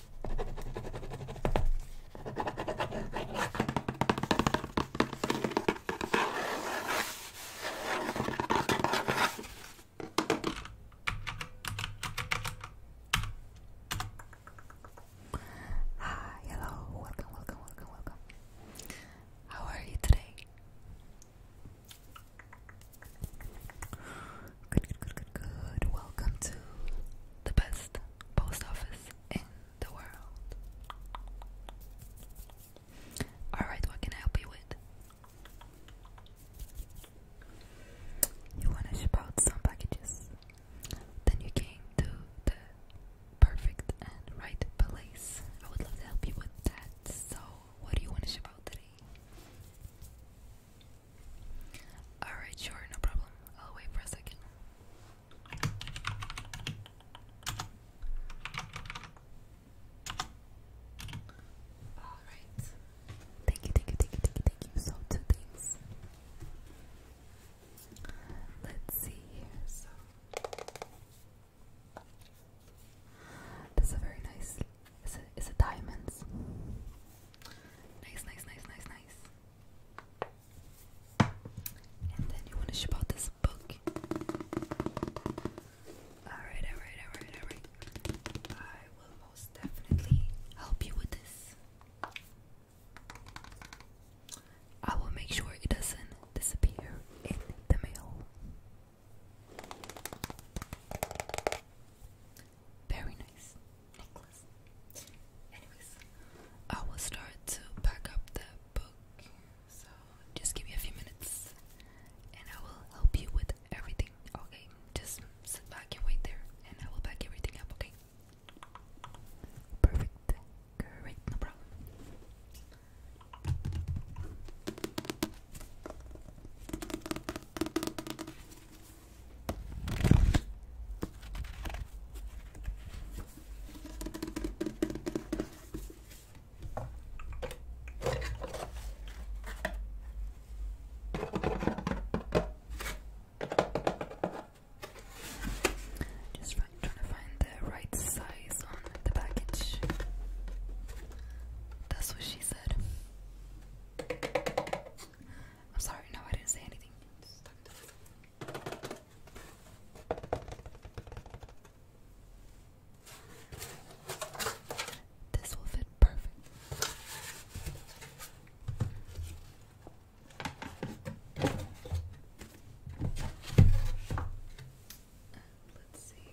Hi, hello, welcome, welcome, welcome, welcome. How are you today? Good, good, good, good, Welcome to the best post office in the world. Alright, what can I help you with? You want to ship out some packages. Then you came to the perfect and right place. I would love to help you with that. So, what do you want to ship out today? Alright, sure, no problem. I'll wait for a second. Alright. Thank you, thank you, thank you, thank you, So, two things. Let's see here. So, that's a very nice. Is it, is it diamonds? Nice, nice, nice, nice, nice. And then you want to ship out this book. Alright, alright, alright, alright. I will most definitely help you with this. I will make sure it doesn't disappear in the mail. Very nice necklace. Anyways, I will start to pack up that book. So just give me a few minutes and I will help you with everything. Okay, just sit back and wait there and I will pack everything up, okay? Perfect. Great, no problem. Just trying to find the right size on the package. That's what she said. I'm sorry, no, I didn't say anything. This will fit perfect. Let's see.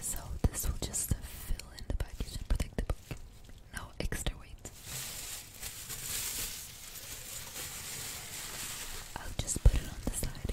So this will just fill in the package and protect the book. No extra weight. I'll just put it on the side.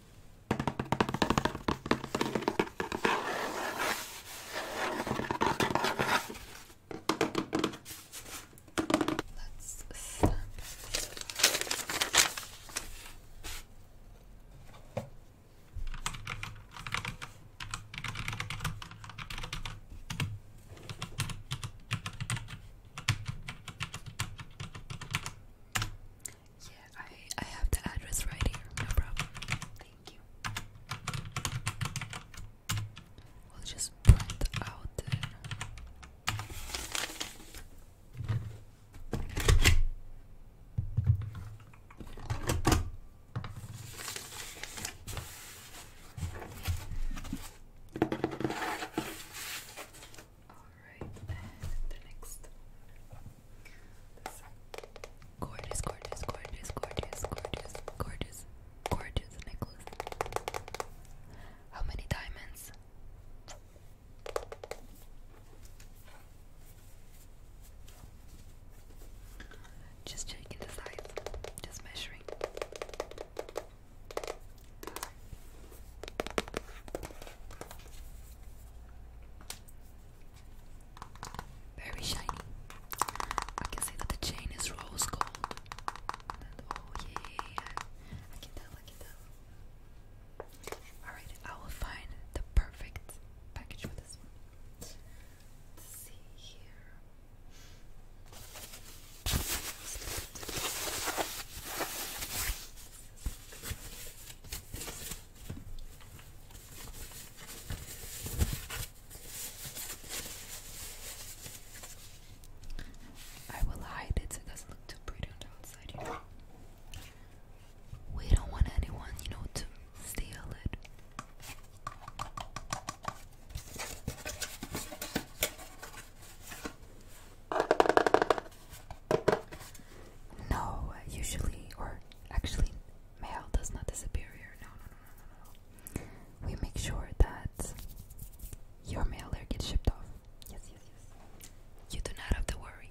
Let's snap yeah, I I have the address right here. No problem. Thank you. We'll just print out Alright, and the next gorgeous, gorgeous, gorgeous, gorgeous, gorgeous, gorgeous, gorgeous necklace. How many diamonds? Just checking the size, just measuring. Very shiny. I can see that the chain is rose gold. oh yeah, I can tell, I can tell. Alright, I will find the perfect package for this Let's see here. I will hide it so it doesn't look too pretty outside, you know. We don't want anyone, you know, to steal it. No, usually, or actually, mail does not disappear here. No, no, no, no, no, We make sure that your mail gets shipped off. Yes, yes, yes. You do not have to worry.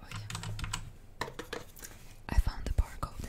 Oh yeah. I found the barcode.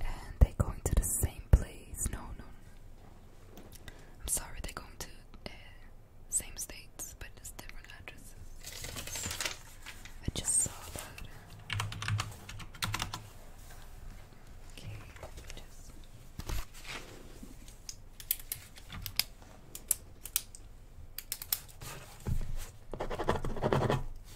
And they're going to the same place. No, no. no. I'm sorry, they're going to uh, same states, but it's different addresses. I just saw that. Okay,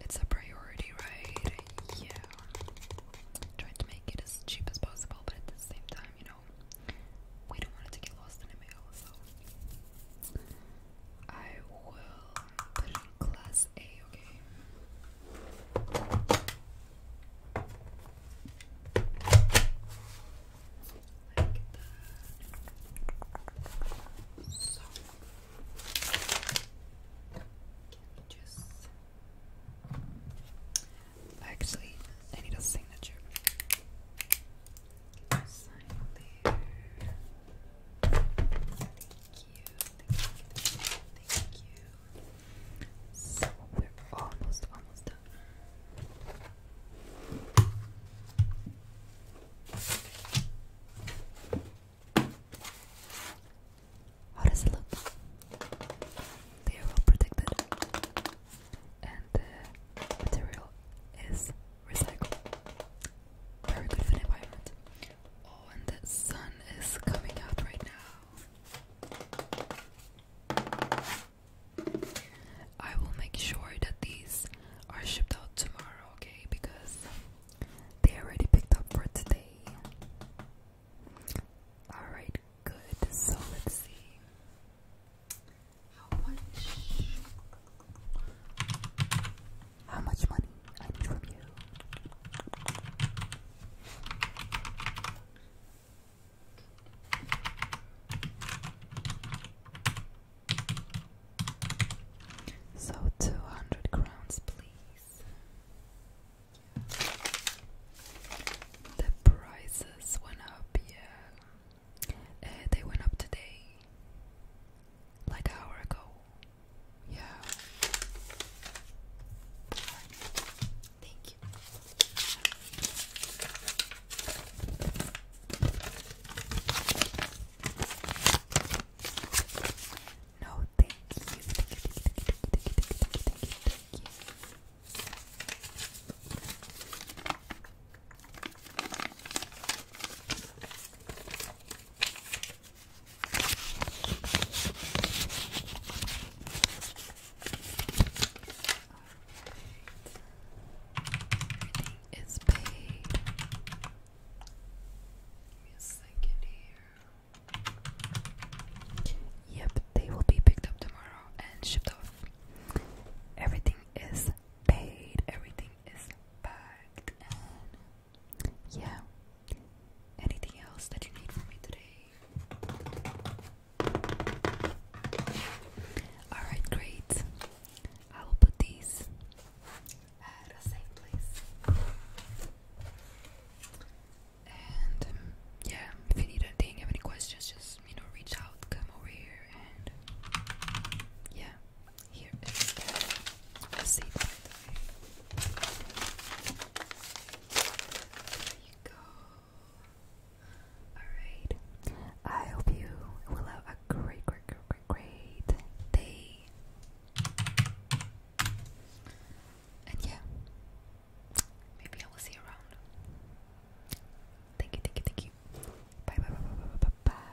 It's a priority, right? Yeah. Trying to make it as cheap as possible, but at the same time, you know, we don't want it to get lost in the mail, so I will put in class A, okay? actually I need a signature. sign there? Thank you, thank you, thank you. So we're almost almost done. How does it look? They are well protected, and the uh, material is recycled. Very good for the environment. Oh, and the sun is coming out right now. I will make sure that these are shipped out tomorrow, okay? Because they already picked up for today. Alright, good. So let's see how much how much money I need you. So two hundred crowns, please. The prices went up, yeah. Eh, they went up today, like an hour ago. Yeah. Thank you. No, thank you is paid. Give me a second here. Yep, they will be picked up tomorrow and shipped off. Everything is paid, everything is packed, yeah. Anything else that you need from me today? Alright, great. I will put these at a safe place. And um, yeah, if you need anything, have any questions, just you know, reach out, come over here, and yeah, here is the safe. By There you go. Alright. I hope you will have a great, great, great, day. And yeah, maybe I will see you around. Thank you, thank you, thank you. bye, bye, bye, bye, bye, bye.